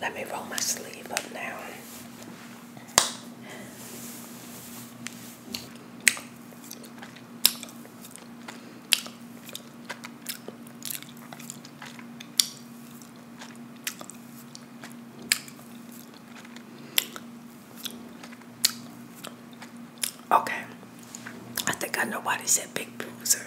Let me roll my sleeve up now. Okay, I think I know said big bruiser.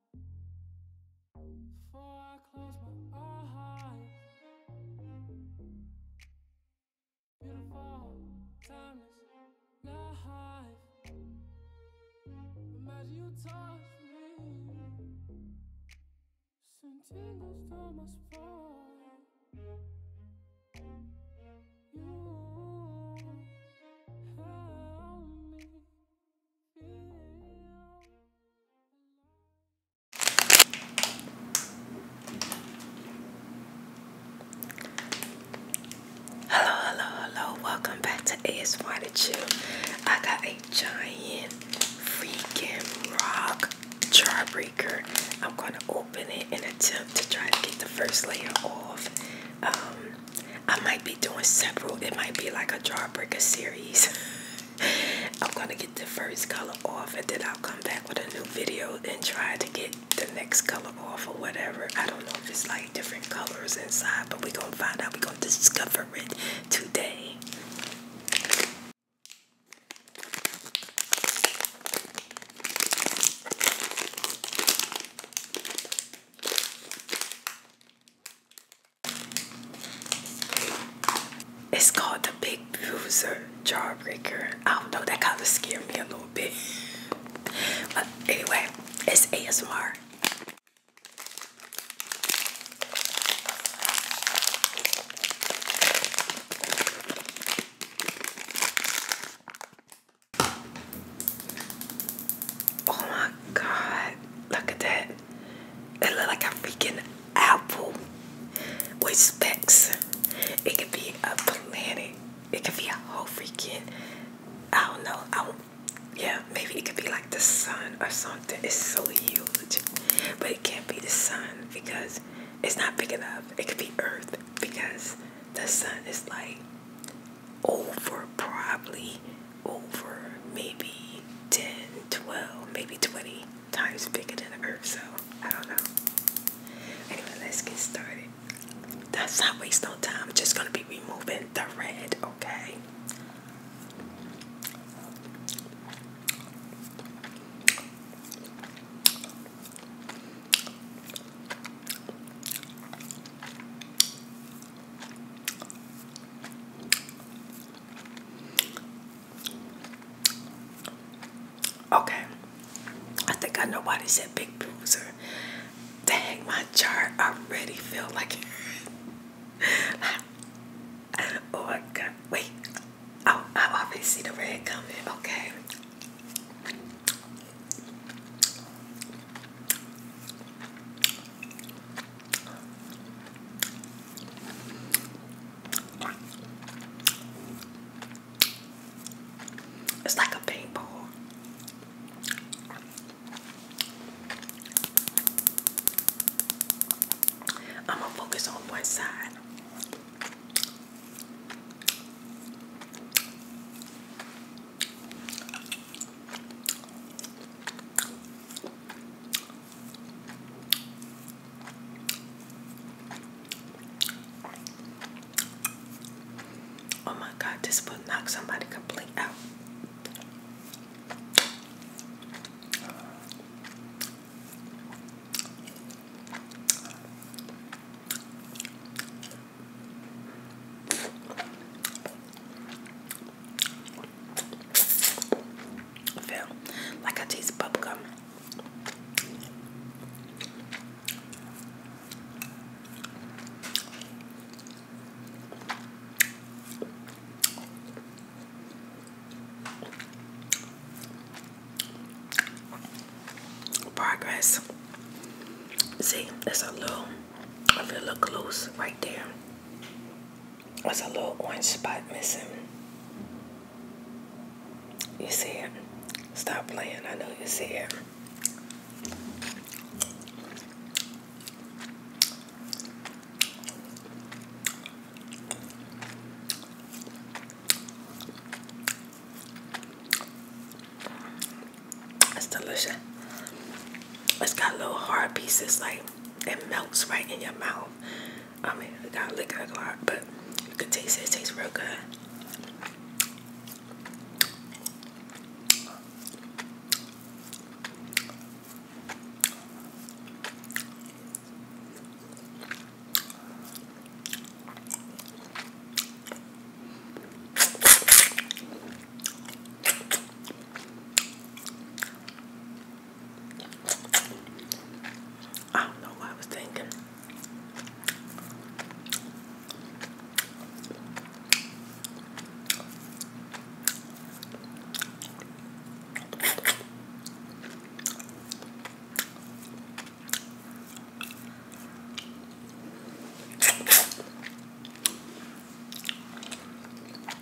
Before I close my eyes, beautiful, timeless life. Imagine you touch me, sentindo estou mais forte. Hello, hello, hello. Welcome back to ASMR to I got a giant freaking rock jawbreaker. I'm going to open it and attempt to try to get the first layer off. Um, I might be doing several. It might be like a jawbreaker series. I'm gonna get the first color off and then I'll come back with a new video and try to get the next color off or whatever. I don't know if it's like different colors inside, but we're gonna find out. We're gonna discover it today. It's called the Big Bruiser Jawbreaker. I don't know, that kind of scared me a little bit. But anyway, it's ASMR. Oh my god, look at that. It look like a freaking apple with specs. It could be a planet. It could be a whole freaking. I don't know. I don't, yeah, maybe it could be like the sun or something. It's so huge, but it can't be the sun because it's not big enough. It could be Earth because the sun is like over probably over maybe 10, 12, maybe 20 times bigger than the earth, so I don't know. Anyway, let's get started. That's not waste no time. just gonna be removing the red, okay? Okay, I think I know why they said big bruiser. Dang, my chart already feel like. oh my god! Wait, I oh, I already see the red coming. Okay. It's like a paintball. I'm gonna focus on one side. Oh my God, this will knock somebody completely out feel like I taste bubble gum. Progress. See, there's a little, I feel a little close right there. There's a little orange spot missing. You see it? Stop playing. I know you see it. It's delicious. It's got little hard pieces like it melts right in your mouth. I mean, I got liquor a lot, but you can taste it. It tastes real good. I don't know what I was thinking.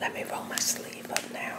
Let me roll my sleeve up now.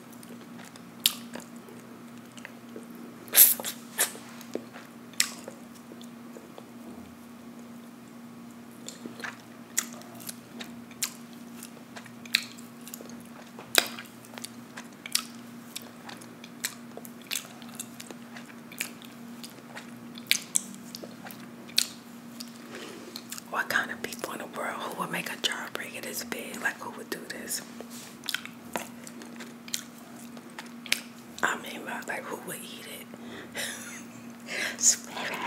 What kind of people in the world who would make a jar jawbreaker this big? Like, who would do this? I mean, like, who would eat it? Swear it.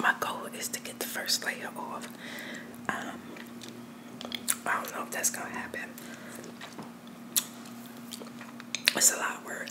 My goal is to get the first layer off. Um, I don't know if that's gonna happen. It's a lot of work.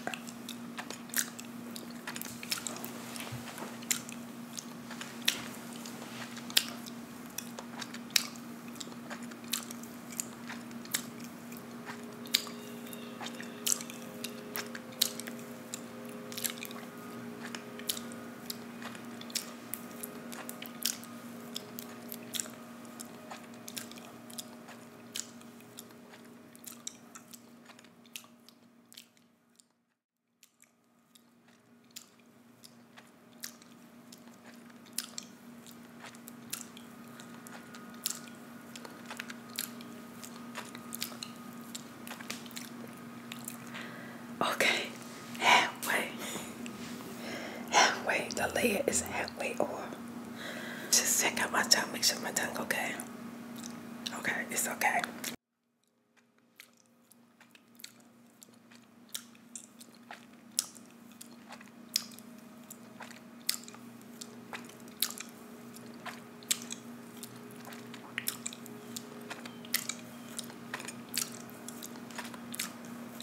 Okay, halfway. Halfway, the layer is halfway off. Just check out my tongue, make sure my tongue okay. Okay, it's okay.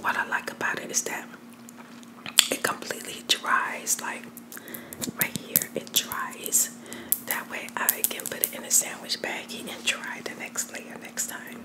What I like about it is that it completely dries, like right here, it dries. That way, I can put it in a sandwich baggie and try the next layer next time.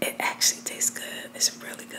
It actually tastes good. It's really good.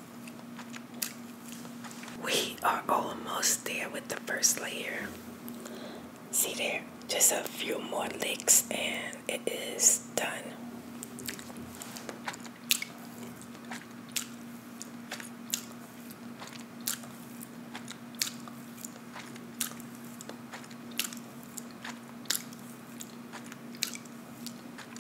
We are almost there with the first layer. See there, just a few more licks and it is done.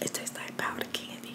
It tastes like powdered candy.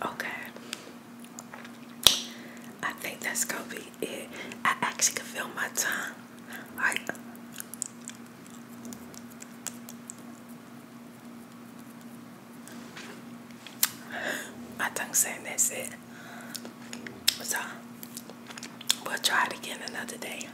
Okay. I think that's gonna be it, I actually can feel my tongue. my tongue saying that's it. So, we'll try it again another day.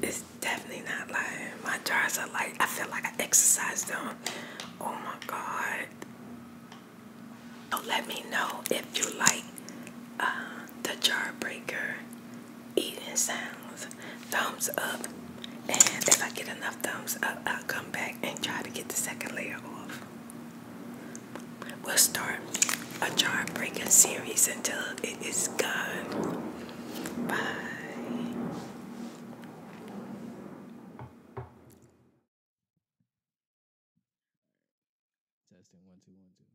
It's definitely not lying. My jars are like, I feel like I exercised them. Oh my God. So let me know if you like uh, the jar breaker eating sounds. Thumbs up. And if I get enough thumbs up, I'll come back and try to get the second layer off. We'll start a jar breaking series until it is gone. Bye. Testing one, two, one, two.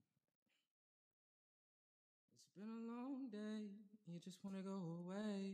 It's been a long day. You just want to go away.